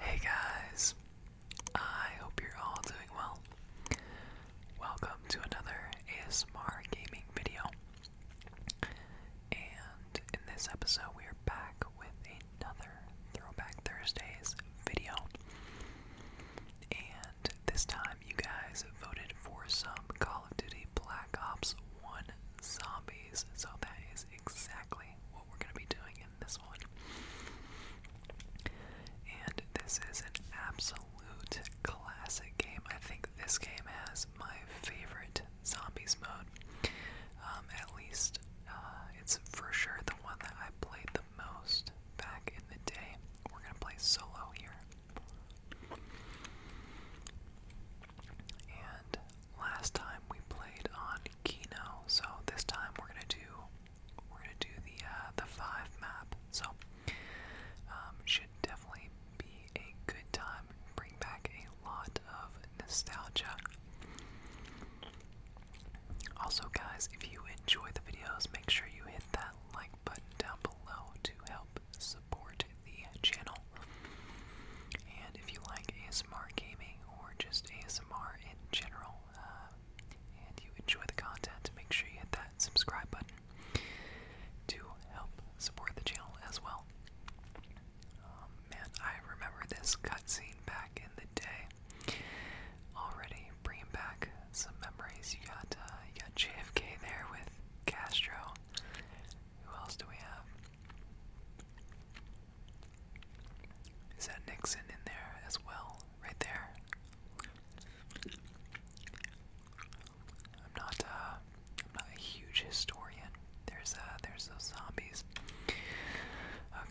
Hey guys, I hope you're all doing well. Welcome to another ASMR gaming video. And in this episode, we are back with another Throwback Thursdays video. And this time, you guys voted for some Call of Duty Black Ops 1 Zombies. So that is exactly what we're going to be doing in this one. And this is an absolute classic game. I think this game has my favorite Zombies mode. Um, at least, uh, it's for sure the one that I played the most back in the day. We're gonna play solo here. And last time we played on Kino, so this time we're gonna do we're gonna do the uh, the five map. So um, should definitely be a good time. Bring back a lot of nostalgia. Also, guys, if you enjoy the videos, make sure you hit that like button down below to help support the channel. And if you like ASMR gaming or just ASMR in general, uh, and you enjoy the content, make sure you hit that subscribe button to help support the channel as well. Um, man, I remember this cutscene back in the day. Already bringing back some memories. You got uh, you got JFK there with Castro. Who else do we have? Is that Nixon in there as well? Right there. I'm not uh, I'm not a huge historian. There's uh, there's those zombies.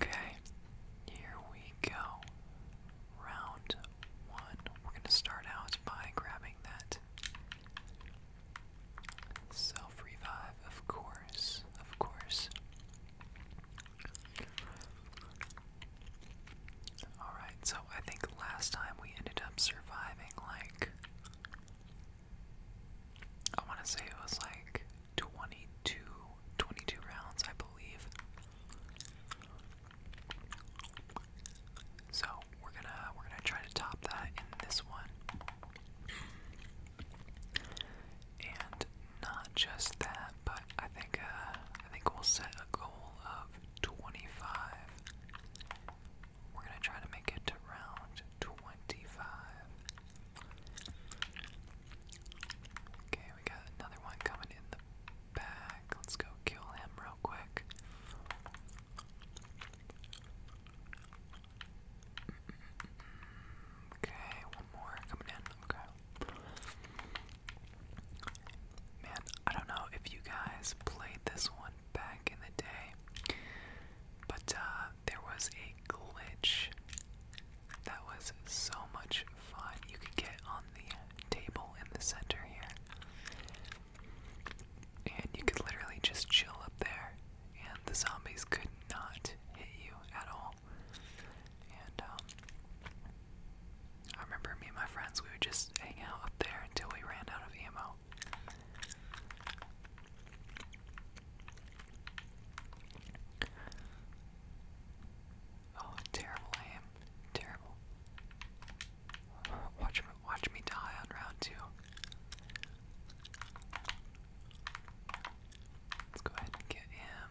Okay, here we go round one. We're going to start out by grabbing that self revive, of course, of course. Alright, so I think last time we ended up surviving like. I want to say it was like 22, 22 rounds, I believe. So we're gonna we're gonna try to top that in this one. And not just that, but I think uh, I think we'll set a goal of 25. We're gonna try to make it to round 25. Okay, we got another one coming in the bag. Let's go kill him real quick. Okay, one more coming in. Okay. Man, I don't know if you guys played this one back in the day, but uh, there was a glitch that was so much you can get on the table in the center here. And you could literally just chill up there. And the zombies could not hit you at all. And, um, I remember me and my friends, we would just hang out up there until we ran out of ammo. Oh, terrible I am Terrible. Watch me, watch me die on round two. Let's go ahead and get him.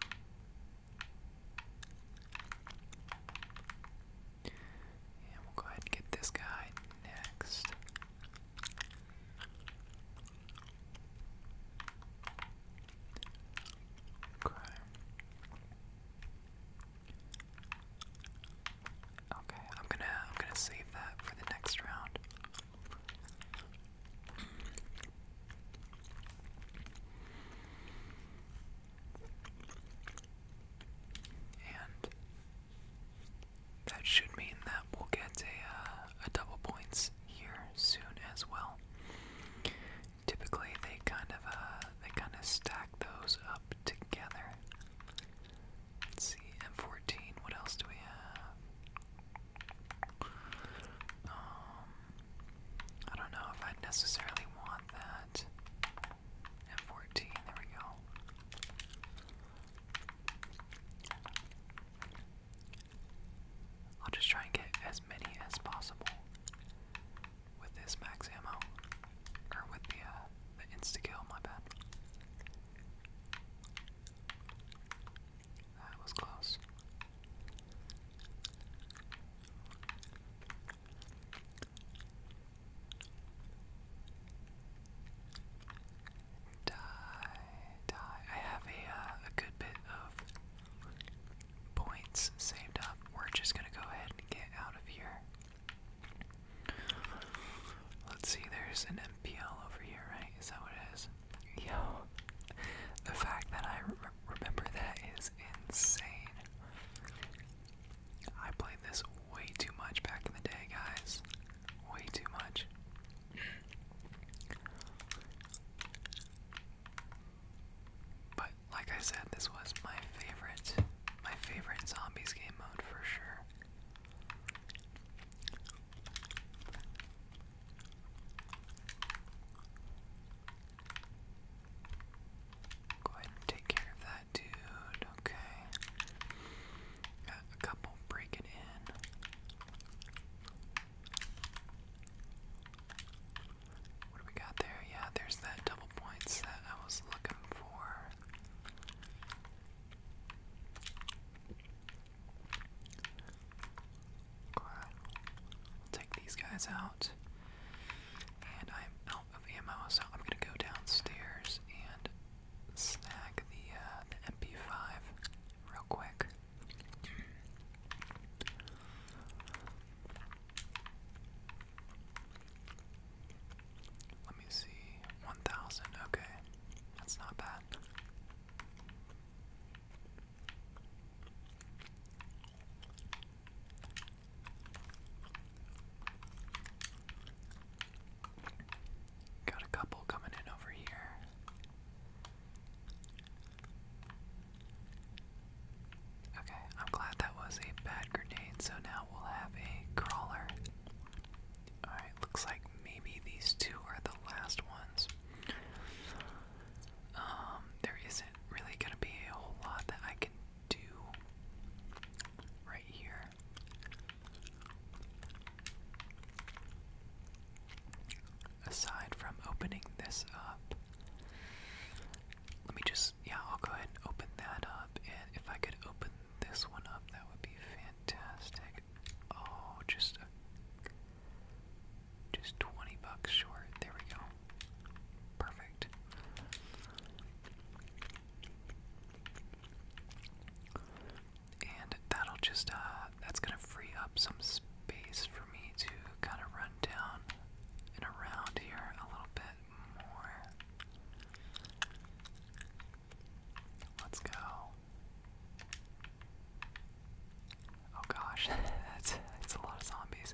And we'll go ahead and get this guy next. Okay. Okay, I'm gonna I'm gonna save that for the next round. And that should mean that we'll get a, uh, a double points here soon as well. Typically, they kind of uh, they kind of stack those up together. Let's see, M14. What else do we have? Um, I don't know if I necessarily want that. M14. There we go. I'll just try and get as many as possible with this max ammo, or with the uh, the insta kill. My bad. That was close. Die, die. I have a uh, a good bit of points saved up. We're just gonna go ahead and get out of here. Let's see, there's an MPL over here, right? Is that what it is? Yo, the fact that I remember that is insane. I played this way too much back in the day, guys. Way too much. But like I said, this was my favorite, my favorite zombies game mode for sure. Go ahead take care of that dude, okay. Got a couple breaking in. What do we got there? Yeah, there's that double points that I was looking for. We'll take these guys out. And I'm out of ammo, so I'm gonna go downstairs and snag the uh, MP5 real quick. Let me see. 1,000. Okay. That's not bad. Got a couple coming in over here. Okay, I'm glad that was a bad grenade, so now we'll have a crawler. Alright, looks like maybe these two are the last ones. Um, there isn't really gonna be a whole lot that I can do right here. Aside from opening this up, let me just, yeah, I'll go ahead and open that up. And if I could open this one up, that would be fantastic. Oh, just just 20 bucks short. There we go. Perfect. And that'll just, uh, that's gonna free up some space for me to kind of run down and around here a little bit more. Let's go. Oh gosh, that's that's a lot of zombies.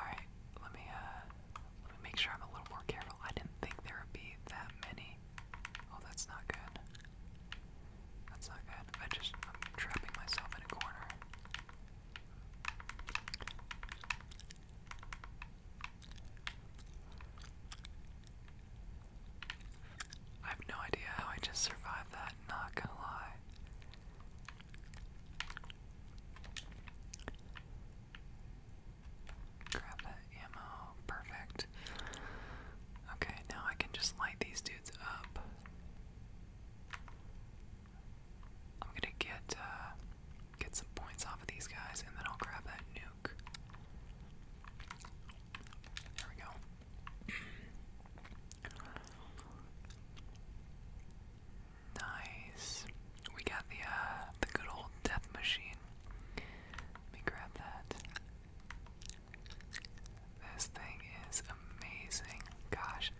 All right, let me uh, let me make sure I'm a little more careful. I didn't think there would be that many. Oh, that's not good. That's not good. I just I'm trapping myself in a corner. I have no idea how I just survived that, not gonna lie. Grab that ammo, perfect. Okay, now I can just light these dudes up. I'm gonna get uh, get some points off of these guys, and then I'll grab that nuke. There we go. nice. We got the uh, the good old death machine. Let me grab that. This thing is amazing. Gosh,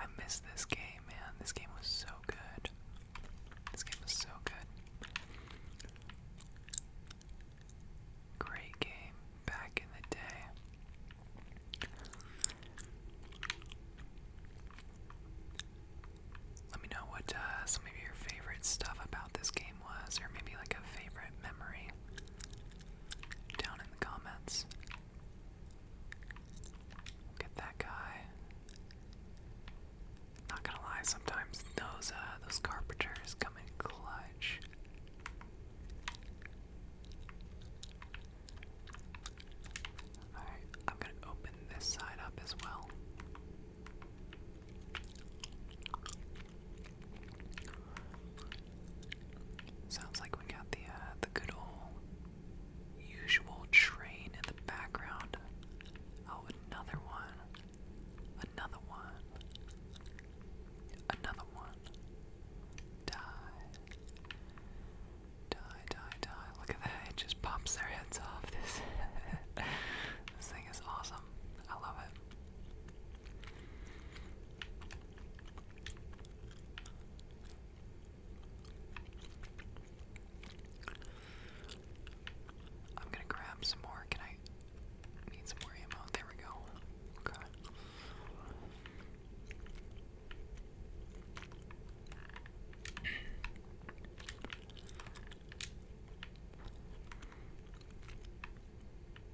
I missed this game, man. This game was so good. This game was so good. Great game back in the day. Let me know what uh, some of your favorite stuff about this game was, or maybe like a favorite memory down in the comments. Look at that guy. Not gonna lie, sometimes those uh, those carpenters come in clutch. Alright, I'm gonna open this side up as well. Sounds like we got the uh, the good old usual train in the background. Oh, another one, another one, another one. Die, die, die, die. Look at that! It just pops their heads off. This this thing is awesome. I love it. I'm gonna grab some more. Can I need some more ammo? There we go. Okay.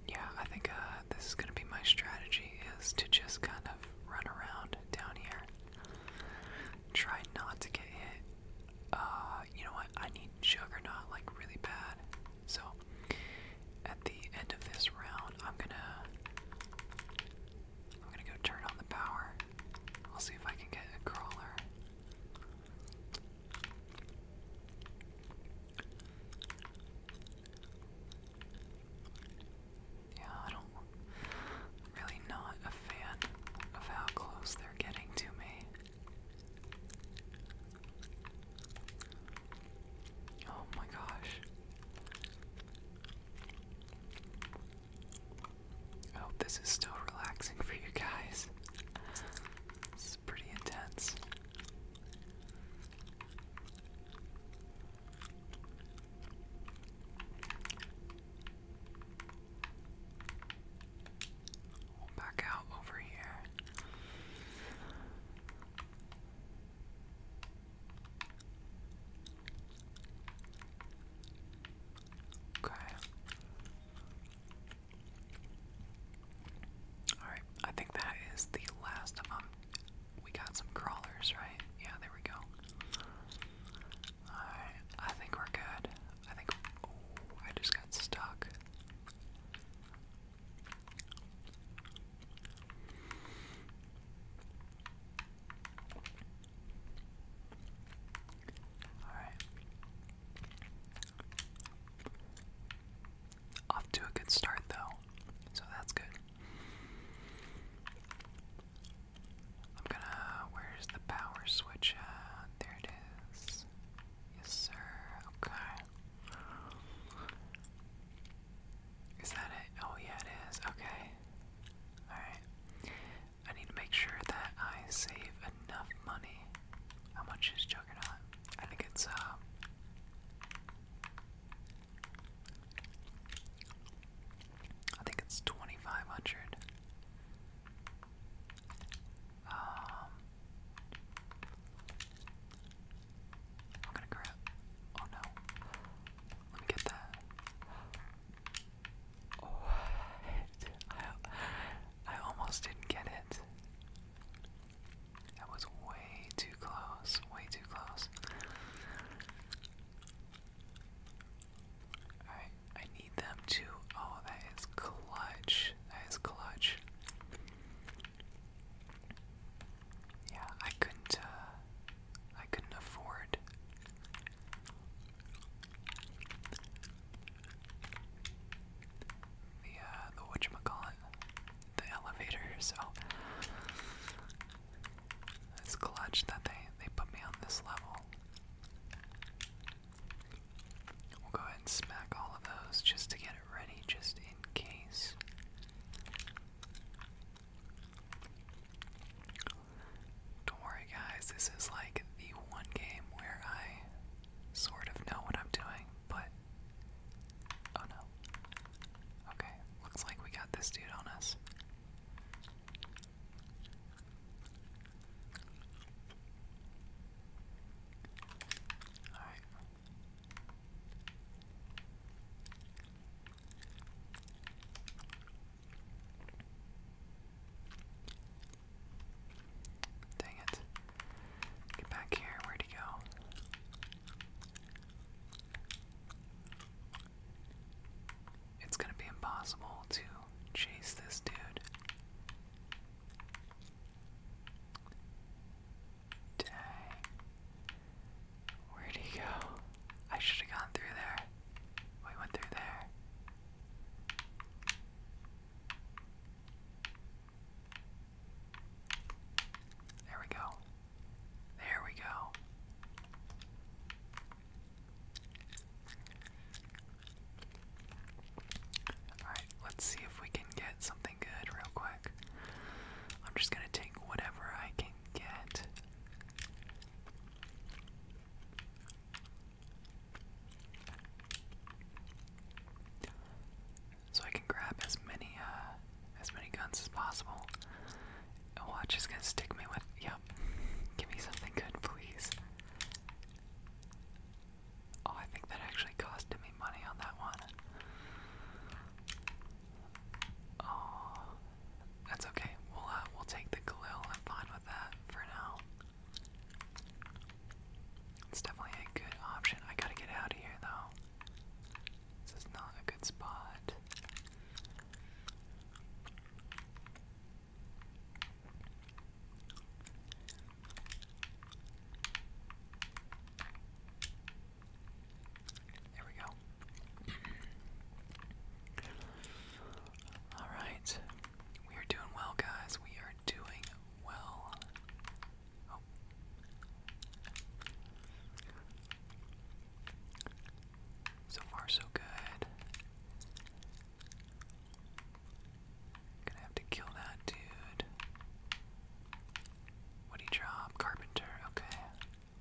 Yeah, I think uh, this is gonna be my strategy is to just kind of run around down here. Try not to get hit. Uh, you know what? I need Juggernaut like really bad. So at the end of this round, I'm gonna I'm gonna go turn on the power. I'll see if I can get a crawler. Yeah, I don't. really not a fan of how close they're getting to me. Oh my gosh. I hope this is still relaxing for you guys. This pretty intense. We'll back out over here. Okay. Alright, I think that is the last of them um, we got some crawlers, right? Yeah, there we go. Alright, I think we're good. I think. Oh, I just got stuck. Alright. Off to a good start, though, so that's good. I'm gonna. Where's the power switch There it is. Yes, sir. Okay. Is that it? Oh, yeah, it is. Okay. Alright. I need to make sure that I save enough money. How much is Juggernaut? I think it's, uh, I think it's 2500. Um, I'm gonna grab oh no. Let me get that. Oh I I almost didn't get it. That was way too close, way too close. Alright, I need them to. Oh, that is clutch. That is clutch. Yeah, I couldn't, uh, I couldn't afford. The uh, the whatchamacallit the elevator, so it's clutch that they they put me on this level. We'll go ahead and smack all of those just to get it ready, just in case. Don't worry, guys, this is like the one game where I sort of know what I'm doing, but. Oh no. Okay, looks like we got this dude on us. Alright. Dang it. Get back here. Where'd he go? It's gonna be impossible to chase this dude. Dang. Where'd he go? I should have gone through there. We went through there. There we go. There we go. Alright, let's see if we can get something good real quick. I'm just gonna take whatever I can get so I can grab as many uh, as many guns as possible. A watch oh, is gonna stick me with. Yep. Give me something good, please. Oh, I think that actually costed me money on that one. Oh, that's okay. We'll uh, we'll take the Galil. I'm fine with that for now. It's definitely a good option. I gotta get out of here though. This is not a good spot. There we go. All right. We are doing well, guys. We are doing well. So far, so good. Gonna have to kill that dude. What do you drop? Carpenter. Okay.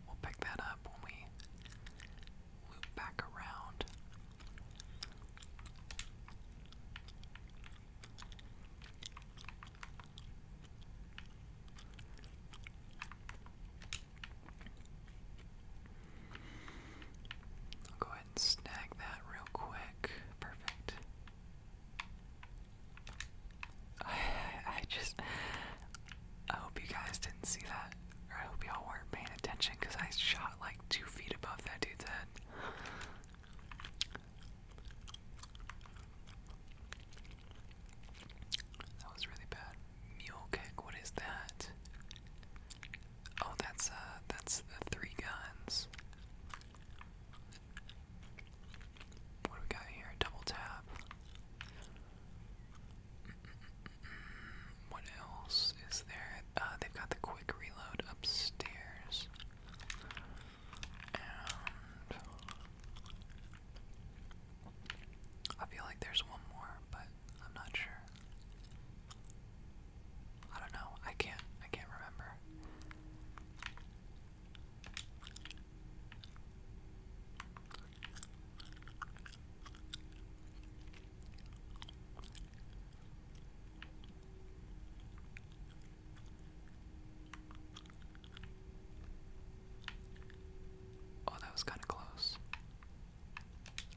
We'll pick that up when we loop back around i go ahead and snag that real quick. Perfect. I, I just. I hope you guys didn't see that. Or I hope y'all weren't paying attention because I shot like two feet above that dude's head. That was really bad. Mule kick, what is that? Oh, that's, uh, that's the three guns. What do we got here? Double tap. What else is there? Uh, they've got the quick reload upstairs. I feel like there's one more, but I'm not sure. I don't know. I can't I can't remember. Oh, that was kind of close.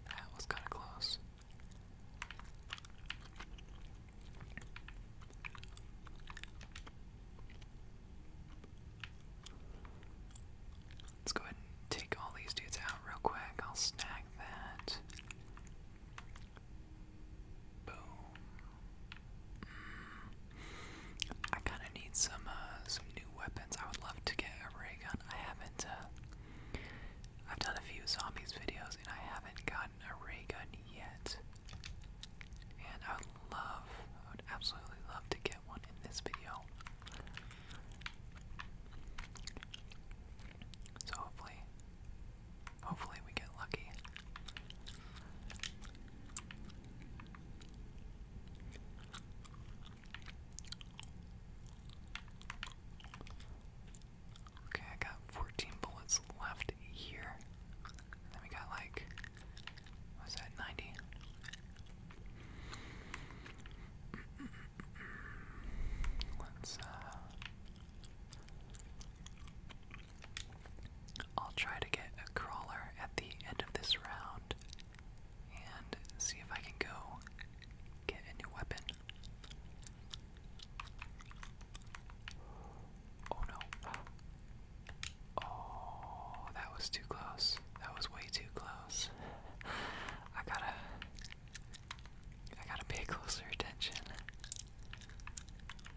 That was kind of close. Let's go ahead and take all these dudes out real quick. I'll snag that. Boom. I kind of need some uh, some new weapons. I would love to get a ray gun. I haven't. Uh, I've done a few zombies videos and I haven't gotten a ray gun yet. And I would love, I would absolutely love to get one in this video. So hopefully, hopefully we get lucky. Okay, I got 14 bullets left here. then we got like, what that, 90? Let's, uh, I'll try to get a crawler at the end of this round and see if I can go get a new weapon. Oh no. Oh, that was too close. That was way too close. I gotta. I gotta pay closer attention.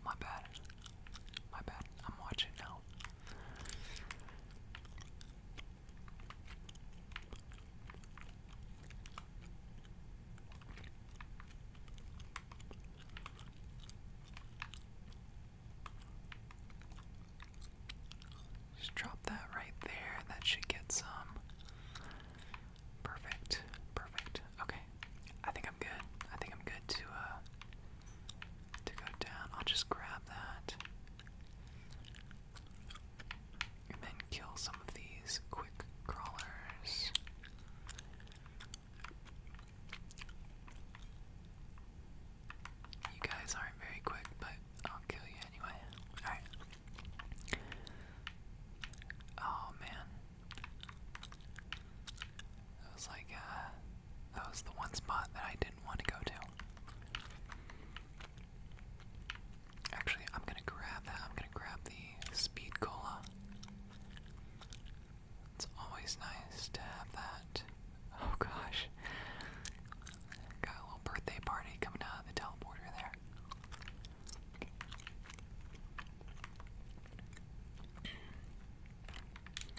My bad. My bad. I'm watching now. Just drop that right there. That should get some. Perfect. Perfect. Okay. I think I'm good. I think I'm good to uh to go down. I'll just grab that. And then kill some of these quick crawlers. You guys aren't very quick, but I'll kill you anyway. Alright. Oh man. That was like, uh, that was the one spot that I didn't want to go to. Actually, I'm gonna grab I'm gonna grab the speed cola. It's always nice to have that. Oh gosh. Got a little birthday party coming out of the teleporter there.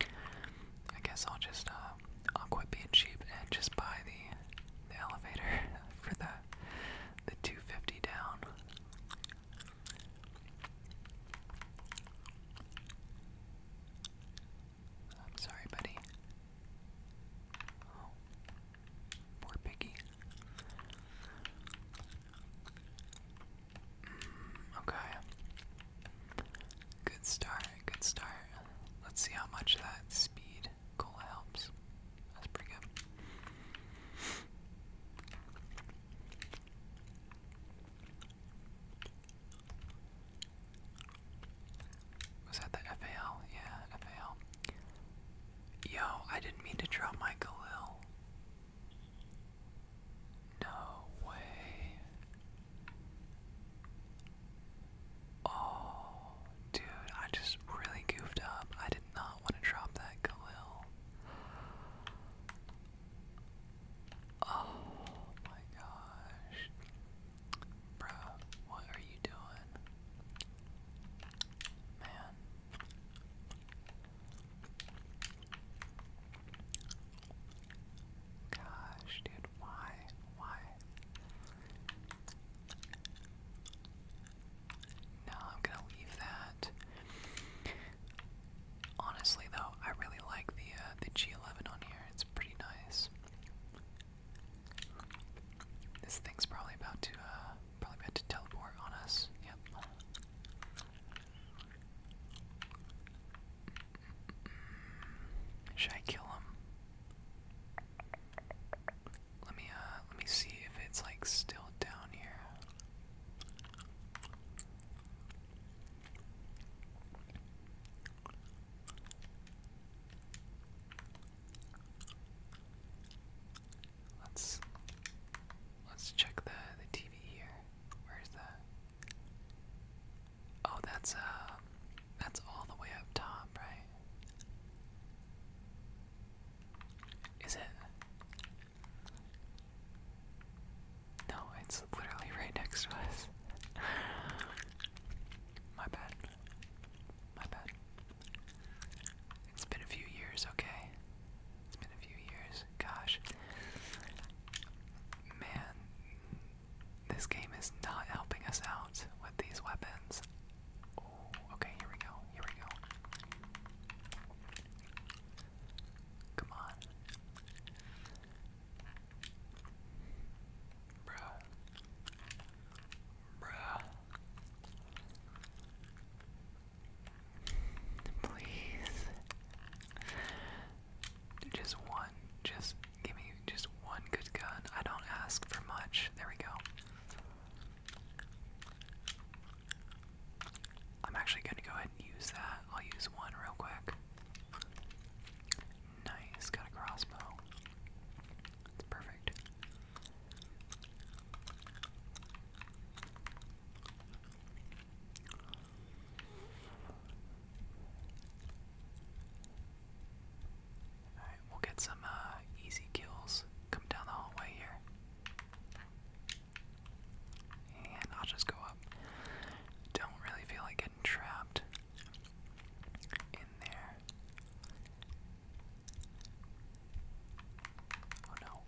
I guess I'll just uh, I'll quit being cheap and just buy the the elevator for the the 250 down. I'm sorry, buddy. Oh, poor piggy. Mm, okay. Good start, good start. Let's see how much that speed cola helps. That's pretty good. Was that the FAL? Yeah, FAL. Yo, I didn't mean to drop my Galil. No way. Oh, dude, I just really goofed up. I did not want to drop that Galil. Oh my gosh. Bro, what are you doing? Man. Gosh, dude, why? Why? No, I'm gonna leave that. Honestly, though, I really like the uh, the G11 on here. It's pretty nice. This thing's probably about to uh, probably to teleport on us. Yep. Should I kill him? Let me uh let me see if it's like still down here. Let's let's check the the TV here. Where's that? Oh, that's uh, that's all the way up top, right? Is it? No, it's literally right next to us. My bad. My bad. It's been a few years, okay? It's been a few years. Gosh. Man, this game is not helping us out with these weapons. Oh, okay, here we go. Here we go. Come on. Bruh. Bruh. Please. Just one. Just give me just one good gun. I don't ask for much. There we go. I'm actually going to go ahead and use that. I'll use one real quick. Nice. Got a crossbow. It's perfect we'll get some uh, easy kills. Come down the hallway here. And I'll just go up. Don't really feel like getting trapped in there. Oh no.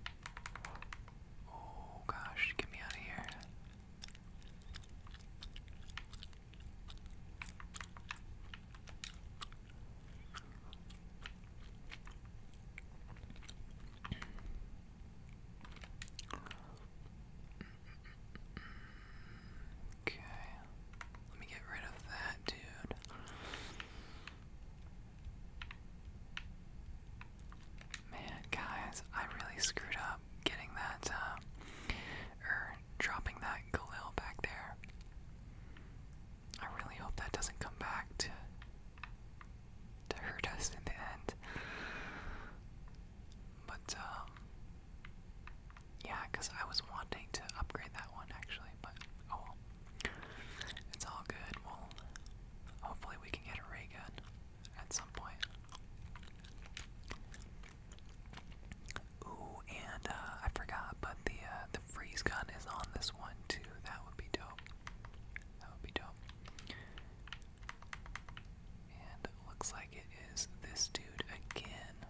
Oh gosh, get me out of here. Okay. Let me get rid of that dude. Man, guys, I really screwed up getting that, uh, or dropping that Galil back there. I really hope that doesn't come back to, to hurt us in the end. But, um, yeah, because I was wanting to upgrade that one actually, but oh well. It's all good. Well, hopefully we can get a ray gun at some point. Ooh, and uh, I forgot, but the uh, the freeze gun is on this one too. That would be dope. That would be dope. And it looks like it is this dude again.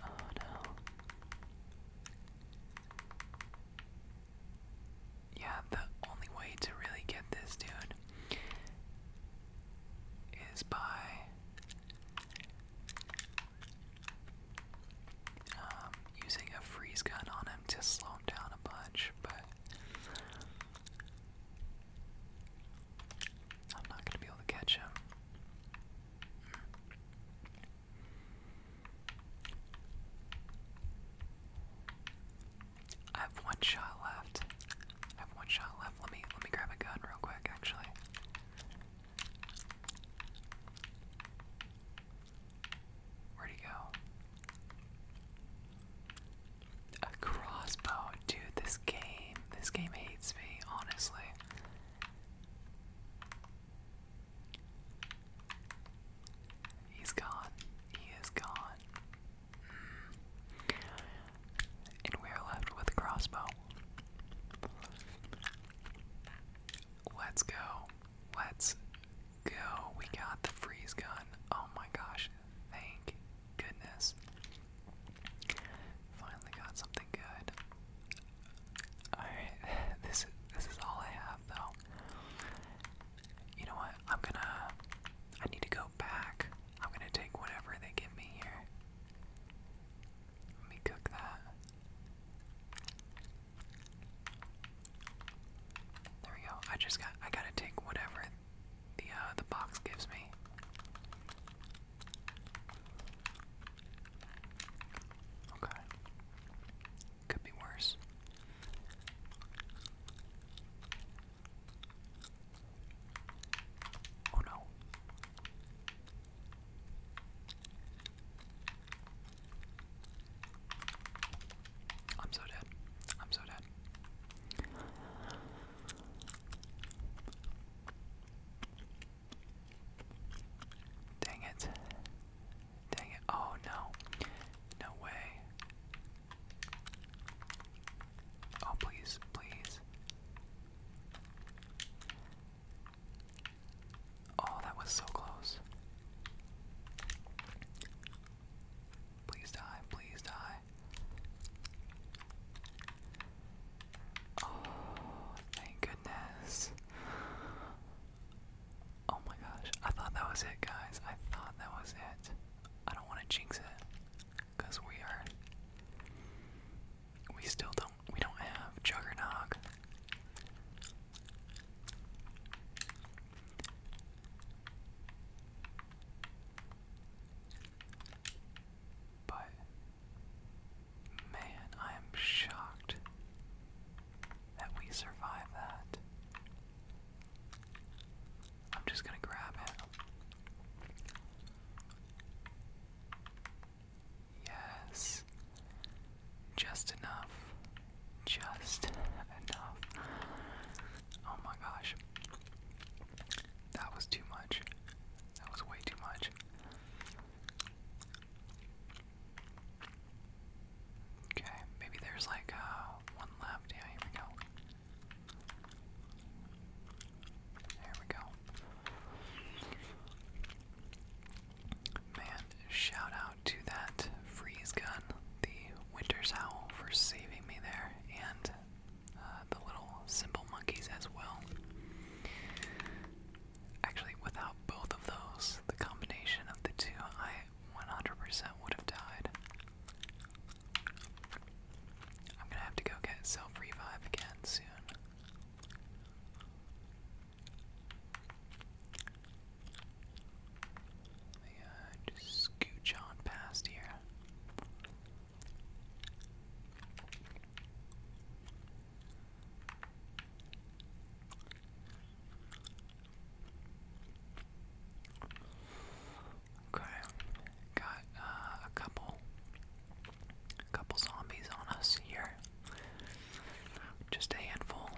Oh no. Yeah, the only way to really get this dude is by um, using a freeze gun on him to slow him down a bunch, but I'm not going to be able to catch him. I have one shot left. I have one shot left. Let me let me grab a gun real quick actually. Where'd he go? A crossbow, dude, this game this game hates me, honestly. He's gone. He is gone. Mm. And we are left with crossbow. Let's go. Let's go. We got the freeze gun. Oh my gosh. Thank goodness. Finally got something good. Alright, this, this is all I have though. You know what? I'm gonna. I need to go back. I'm gonna take whatever they give me here. Let me cook that. There we go. I just got. I gotta take whatever the uh, the box gives me. Okay. Could be worse. Oh no. I'm so dead. I'm so dead. Dang it. Dang it. Oh no. No way. Oh, please, please. Oh, that was so close. Please die, please die. Oh, thank goodness. Oh my gosh, I thought that was it, guys. I thought that was it. I don't want to jinx it because we are we still don't we don't have juggernog but man, I am shocked that we survived that. I'm just gonna grab it. Yes. Just enough. Just enough. Oh my gosh. That was too much. That was way too much. Okay, maybe there's like uh, one left. Yeah, here we go. There we go. Man, shout out to that freeze gun, the Winter's Owl, for saving me there and uh, the little simple monkeys as well. Actually, without both of those, the combination of the two, I 100% would have died. I'm gonna have to go get self revive again soon. Let me uh, just scooch on past here. Okay, got uh, a couple, couple zombies on us here. Just a handful.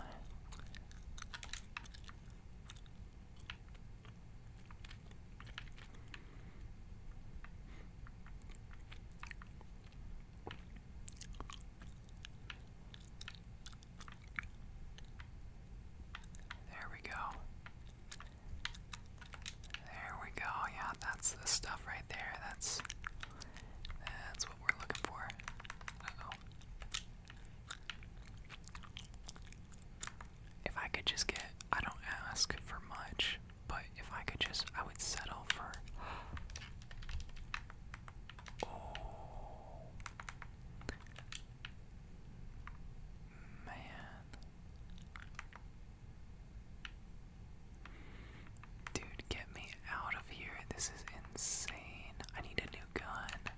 There we go. There we go. Yeah, that's the stuff right there. That's that's what we're looking for if I could just get, I don't ask for much, but if I could just, I would settle for. Oh. Man. Dude, get me out of here. This is insane. I need a new gun.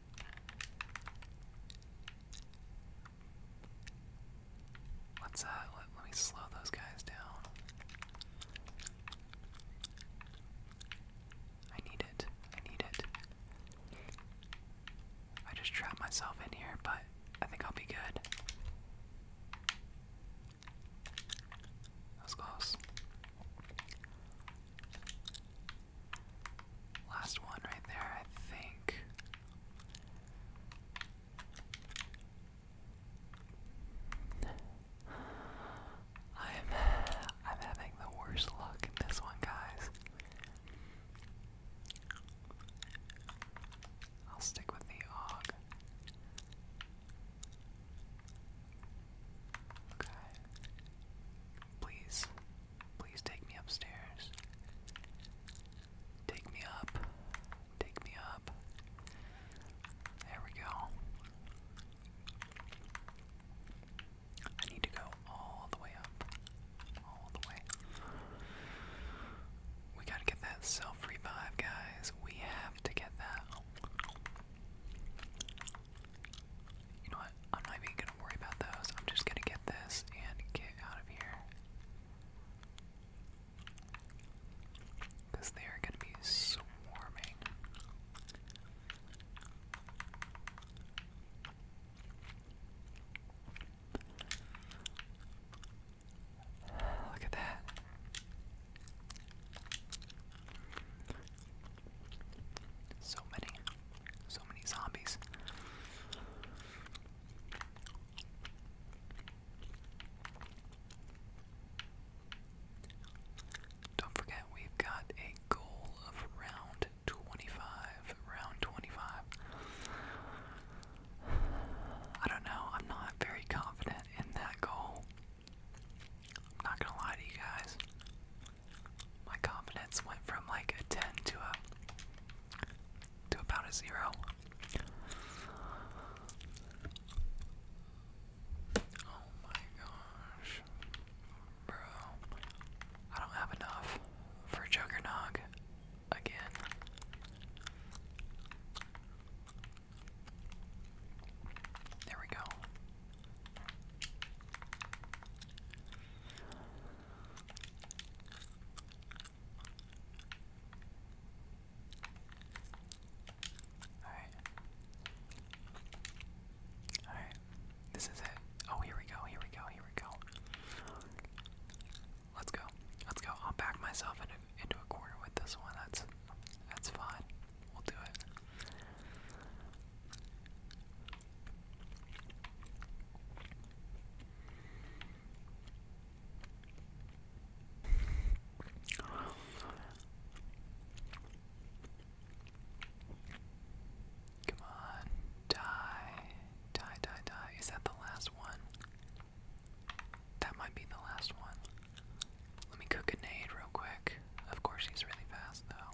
Let's uh let, let me slow those guys down. I need it. I need it. I just trapped myself in here, but I think I'll be good. That was close. Last one right there, I think. I'm I'm having the worst luck in this one, guys. I'll stick with the og. Okay. Please, please take me upstairs. Take me up. Take me up. There we go. I need to go all the way up. All the way. We gotta get that self revive, guys. We have to get that. You know what? I'm not even gonna worry about those. I'm just gonna get this and get out of here. Because they are going to be swarming. Look at that. So many, so many zombies. Don't forget, we've got a goal of round 25. Round 25. I don't know, I'm not very confident in that goal. I'm not gonna lie to you guys. My confidence went from like a 10 to a to about a zero. Oh my gosh. Bro, I don't have enough for Juggernog again. There we go. Alright. Alright. This is it. Oh, here we go, here we go, here we go. Let's go. Let's go. I'll pack myself into, into a corner with this one. That's that's fine. We'll do it. Come on, die, die, die, die. Is that the last one? That might be the last one. Let me cook a nade real quick. Of course, he's really fast though.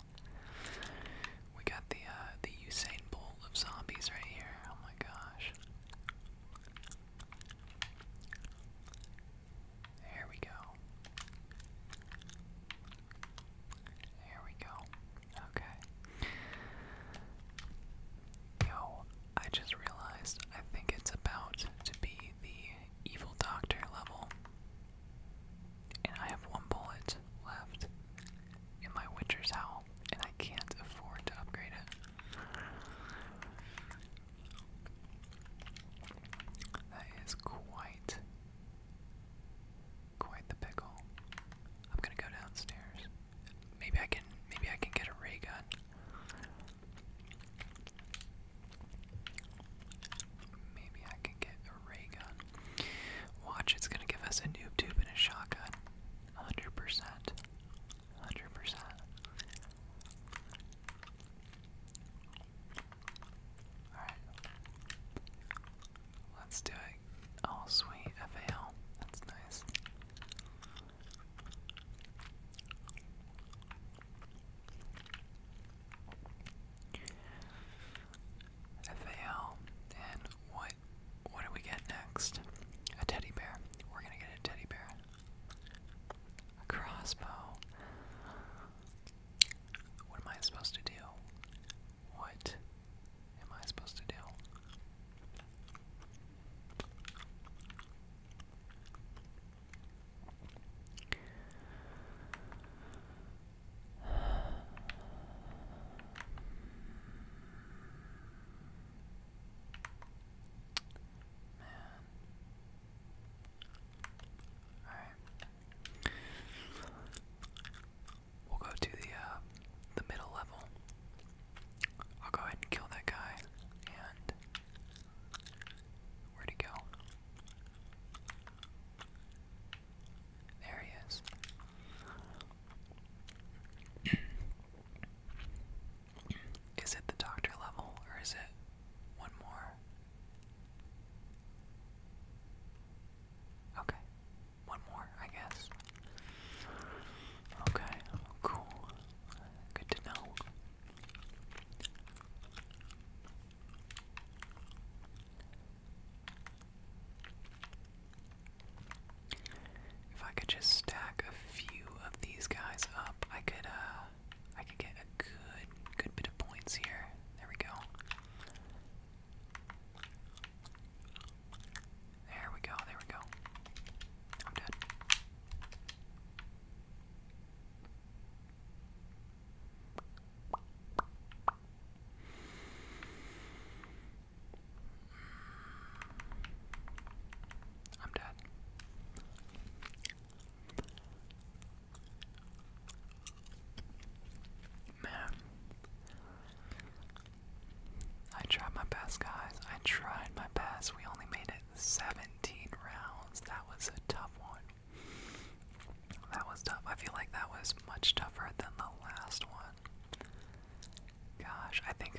We got the uh, the Usain Bolt of zombies right here. Oh my gosh. There we go. There we go. Okay. Yo, I just realized I think it's about to be the evil doctor level. And I have one bullet left in my winter's Howl, and I can't afford to upgrade it. That is quite, quite the pickle. I'm gonna go downstairs. Maybe I can, maybe I can get a ray gun. Maybe I can get a ray gun. Watch, it's gonna give us a noob tube and a shotgun. Hundred percent. Hundred percent. Alright. Let's do it. Oh sweet, FAL. That's nice. FAL and what what do we get next? A teddy bear. We're gonna get a teddy bear. A crossbow. What am I supposed to do? What am I supposed to do? Man. Alright. We'll go to the uh the middle level. I'll go ahead and kill that guy and where'd he go? There he is. Is it the doctor level or is it one more? Okay. One more, I guess. Okay, cool. Good to know. If I could just stack a few of these guys up, I could uh I could get a good good bit of points here. There we go. There we go, there we go. I'm dead. I'm dead. Man. I tried my best, guys. I tried my best. We only made it 17 rounds. That was a tough one. That was tough. I feel like that was much tougher than the last one. Gosh, I think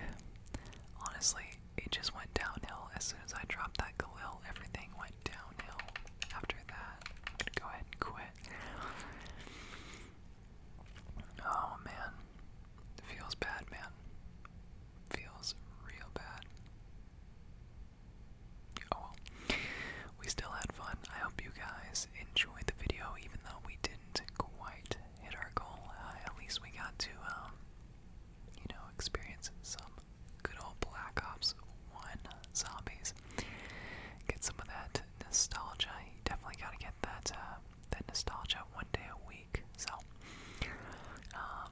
honestly it just went downhill as soon as I dropped that Galil. Everything went downhill after that. go ahead and quit. Oh man, feels bad, man. Feels real bad. Oh well, we still had fun. I hope you guys guys enjoyed the video, even though we didn't quite hit our goal. Uh, at least we got to, um, you know, experience some good old Black Ops 1 zombies. Get some of that nostalgia. You definitely gotta get that, uh, that nostalgia one day a week. So, um,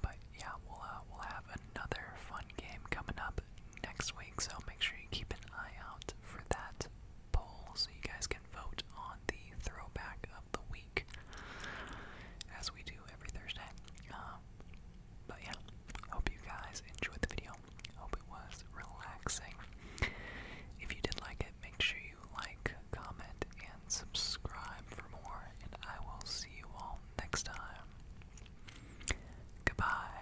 but yeah, we'll, uh, we'll have another fun game coming up next week, so make sure you keep an eye out for that poll so you guys can vote on the throwback of the week, as we do every Thursday. Um, but yeah, hope you guys enjoyed the video. Hope it was relaxing. If you did like it, make sure you like, comment, and subscribe for more. And I will see you all next time. Goodbye.